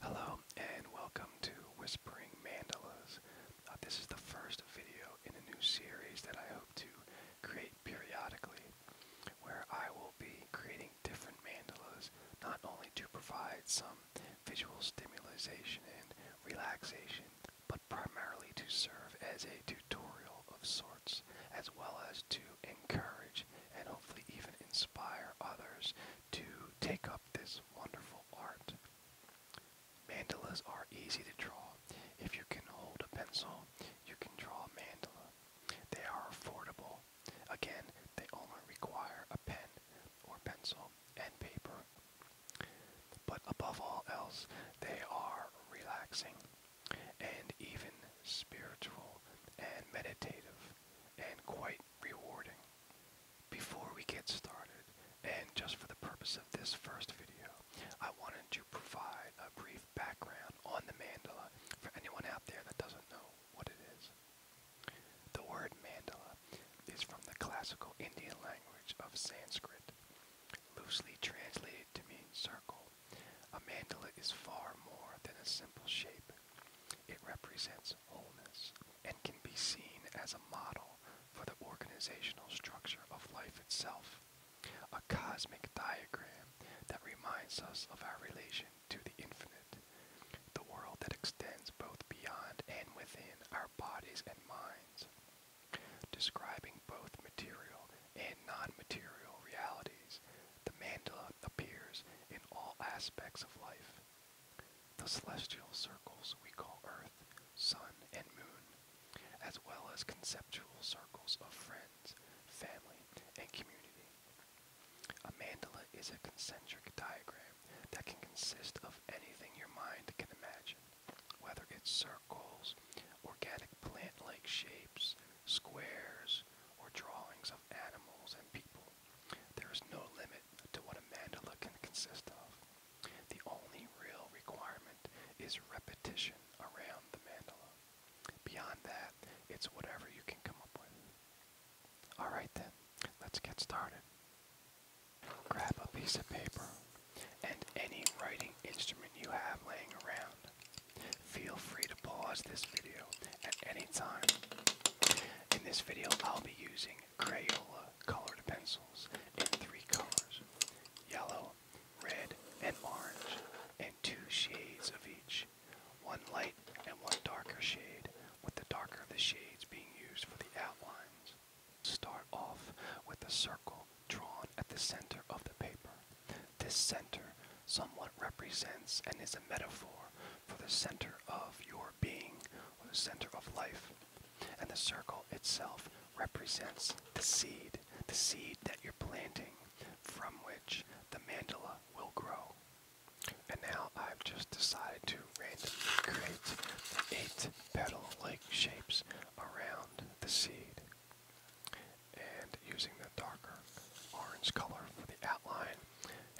Hello and welcome to Whispering Mandalas. Uh, this is the first video in a new series that I hope to create periodically where I will be creating different mandalas not only to provide some visual stimulation and relaxation but primarily to serve as a tutorial of sorts as well as to encourage and hopefully even inspire others to take up this wonderful art. Mandalas are easy to draw. If you can hold a pencil, you can draw a mandala. They are affordable. Again, they only require a pen or pencil and paper. But above all else, they are relaxing and even spiritual and meditative and quite rewarding. Before we get started, and just for the purpose of this first video, I wanted to provide a brief background on the mandala for anyone out there that doesn't know what it is. The word mandala is from the classical Indian language of Sanskrit, loosely translated to mean circle. A mandala is far more than a simple shape. It represents wholeness and can be seen as a model for the organizational structure of life itself, a cosmic diagram that reminds us of our relation to the infinite, the world that extends both beyond and within our bodies and minds, describing both material and non-material realities. The mandala appears in all aspects of life. The celestial circles we call Earth, Sun, and Moon, as well as conceptual circles of friends, family, and community. A mandala is a concentric diagram that can consist of anything your mind can imagine, whether it's circles, organic plant like shapes, squares, or drawings of animals and people. There is no limit to what a mandala can consist of. The only real requirement is repetition around the mandala. Beyond that, it's whatever you can come up with. Alright then, let's get started. Grab a piece of paper and any writing instrument you have laying around. Feel free to pause this video at any time. In this video, I'll be using Crayola colored pencils in three colors yellow, red, and orange, and two shades of each one light and one darker shade, with the darker of the shades being used for the outlines. Start off with a circle drawn at the center of the paper. This center somewhat represents and is a metaphor for the center of your being or the center of life. And the circle itself represents the seed, the seed that you're planting from which the mandala will grow. And now I've just decided to randomly create eight petal like shapes around the seed and using the darker orange color for the outline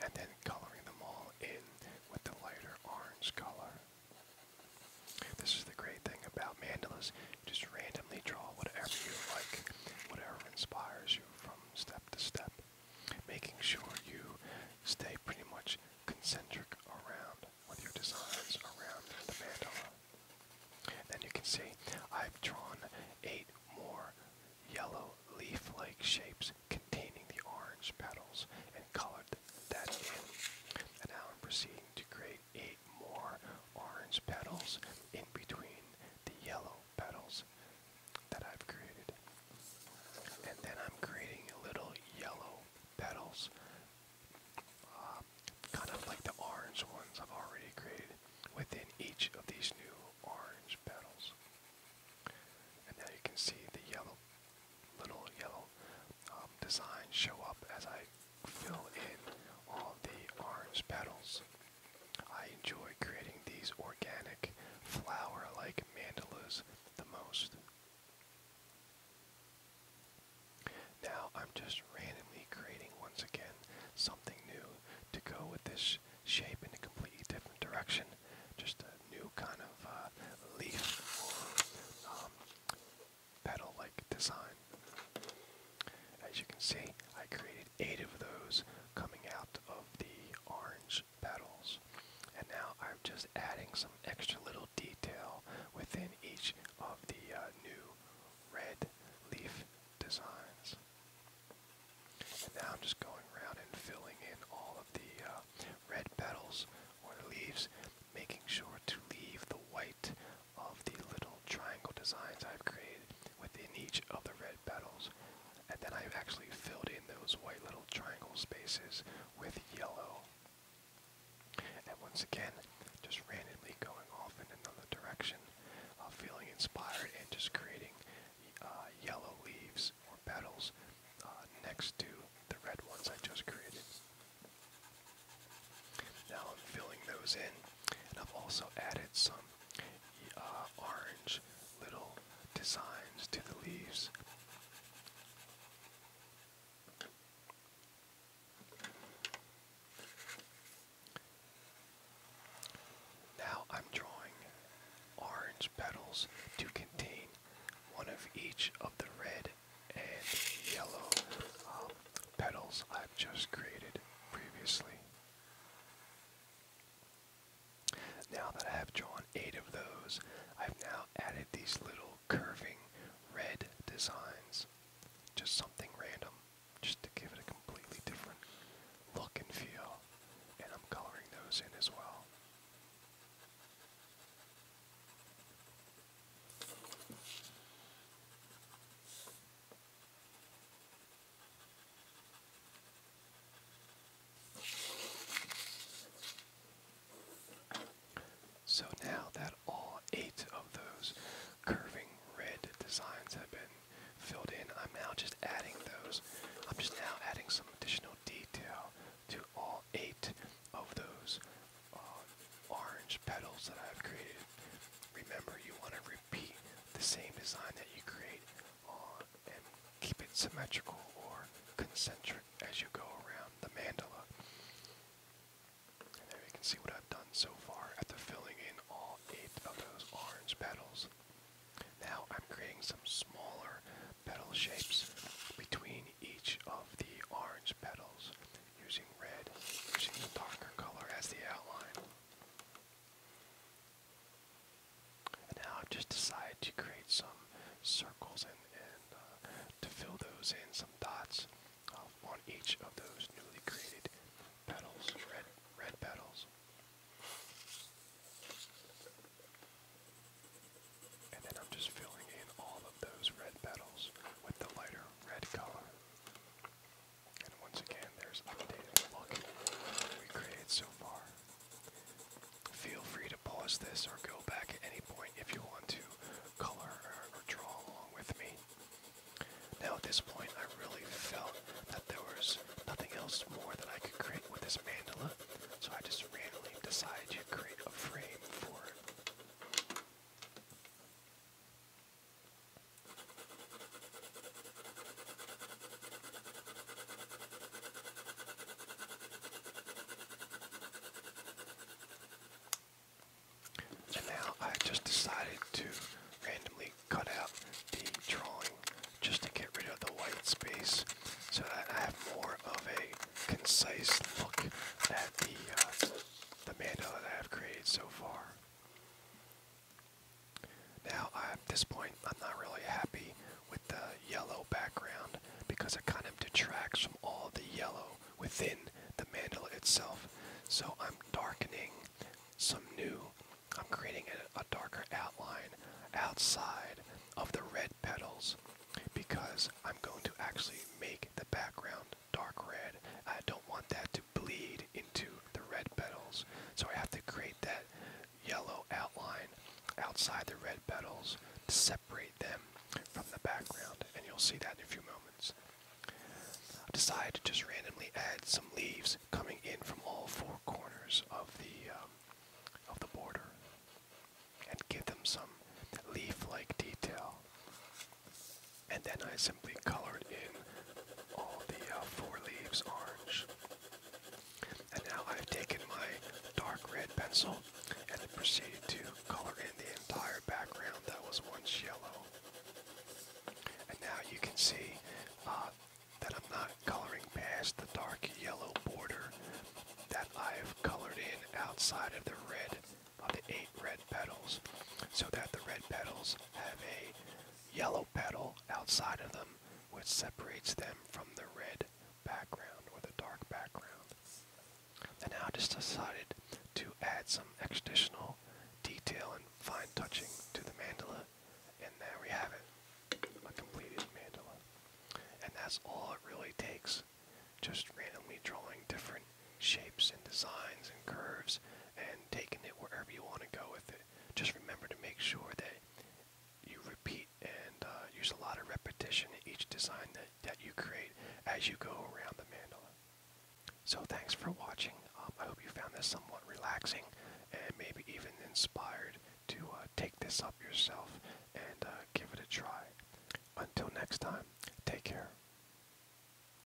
and then coloring them all in with the lighter orange color. This is the great thing about mandalas. Just randomly draw whatever you like, whatever inspires you from step to step, making sure you stay pretty much concentric around with your designs around the mandala. Then you can see I've drawn eight more yellow leaf-like shapes containing the orange petals and colored that in. And now I'm proceeding to create eight more orange petals in between the yellow petals that I've created. And then I'm creating little yellow petals um, kind of like the orange ones I've already created within each of these new orange petals. And now you can see the yellow, little yellow um, designs show up as I fill in all the orange petals. I enjoy creating these organic flower-like mandalas the most. Now I'm just randomly creating once again something new to go with this shape in a completely different direction. Just a new kind of uh, leaf or um, petal like design. As you can see, I created eight of those coming out of the orange petals. And now I'm just adding some extra little detail within each of the uh, new red leaf designs. And now I'm just going around and filling in all of the uh, red petals or the leaves, making sure to leave the white of the little triangle designs I've created within each of the red petals. And then I've actually filled in those white little triangle spaces with yellow. And once again, just randomly going off in another direction, uh, feeling inspired and just creating uh, yellow leaves or petals uh, next to the red ones I just created. Now I'm filling those in, and I've also added some uh, orange little designs to the leaves. Now I'm drawing orange petals to contain one of each of the red and yellow um, petals I've just created previously. Now that I have drawn eight of those, I've now added these little curving red designs. Just something random, just to give it a completely different look and feel. And I'm coloring those in as well. So now that all eight of those curving red designs have been filled in, I'm now just adding those. I'm just now adding some additional detail to all eight of those uh, orange petals that I've created. Remember, you want to repeat the same design that you create and keep it symmetrical or concentric as you go around the mandala. And there you can see what I've done so far after filling in all eight of those orange petals. Now I'm creating some smaller petal shapes between each of the orange petals using red, using the darker color as the outline. And now I've just decided to create some circles and, uh, to fill those in, some dots on each of those newly created petals, red, red petals. And then I'm just filling in all of those red petals with the lighter red color. And once again, there's updated look we created so far. Feel free to pause this or go back at any point if you want to color or, draw along with me. Now at this point I really felt that there was nothing else more that I could create with this mandala, so I just randomly decided to create a frame for it. And now I just decided to randomly cut out the drawing just to get rid of the white space so that I have more of a concise look at the, uh, the mandala that I've created so far. Now, at this point, I'm not really happy with the yellow background because it kind of detracts from all the yellow within the mandala itself. So I'm darkening some new, I'm creating a, darker outline outside of the red petals because I'm going to actually make the background dark red. I don't want that to bleed into the red petals. So I have to create that yellow outline outside the red petals to separate them from the background. And you'll see that in a few moments. I decided to just randomly add some leaves coming in from all four corners of the um, of the border and give them some leaf-like detail. And then I simply colored in all the uh, four leaves orange. And now I've taken my dark red pencil and proceeded to color in the entire background that was once yellow. And now you can see uh, that I'm not coloring past the dark yellow border that I've colored in outside of the red, of the eight red petals, so that the red petals have a yellow petal outside of them, which separates them from the red background or the dark background. And now I just decided to add some additional detail and fine touching to the mandala, and there we have it, a completed mandala. And that's all it really takes, just randomly drawing different shapes and designs and curves and taking it wherever you want to go with it. Just remember to make sure that you repeat and uh, use a lot of repetition in each design that, that you create as you go around the mandala. So thanks for watching. Um, I hope you found this somewhat relaxing and maybe even inspired to uh, take this up yourself and uh, give it a try. Until next time, take care.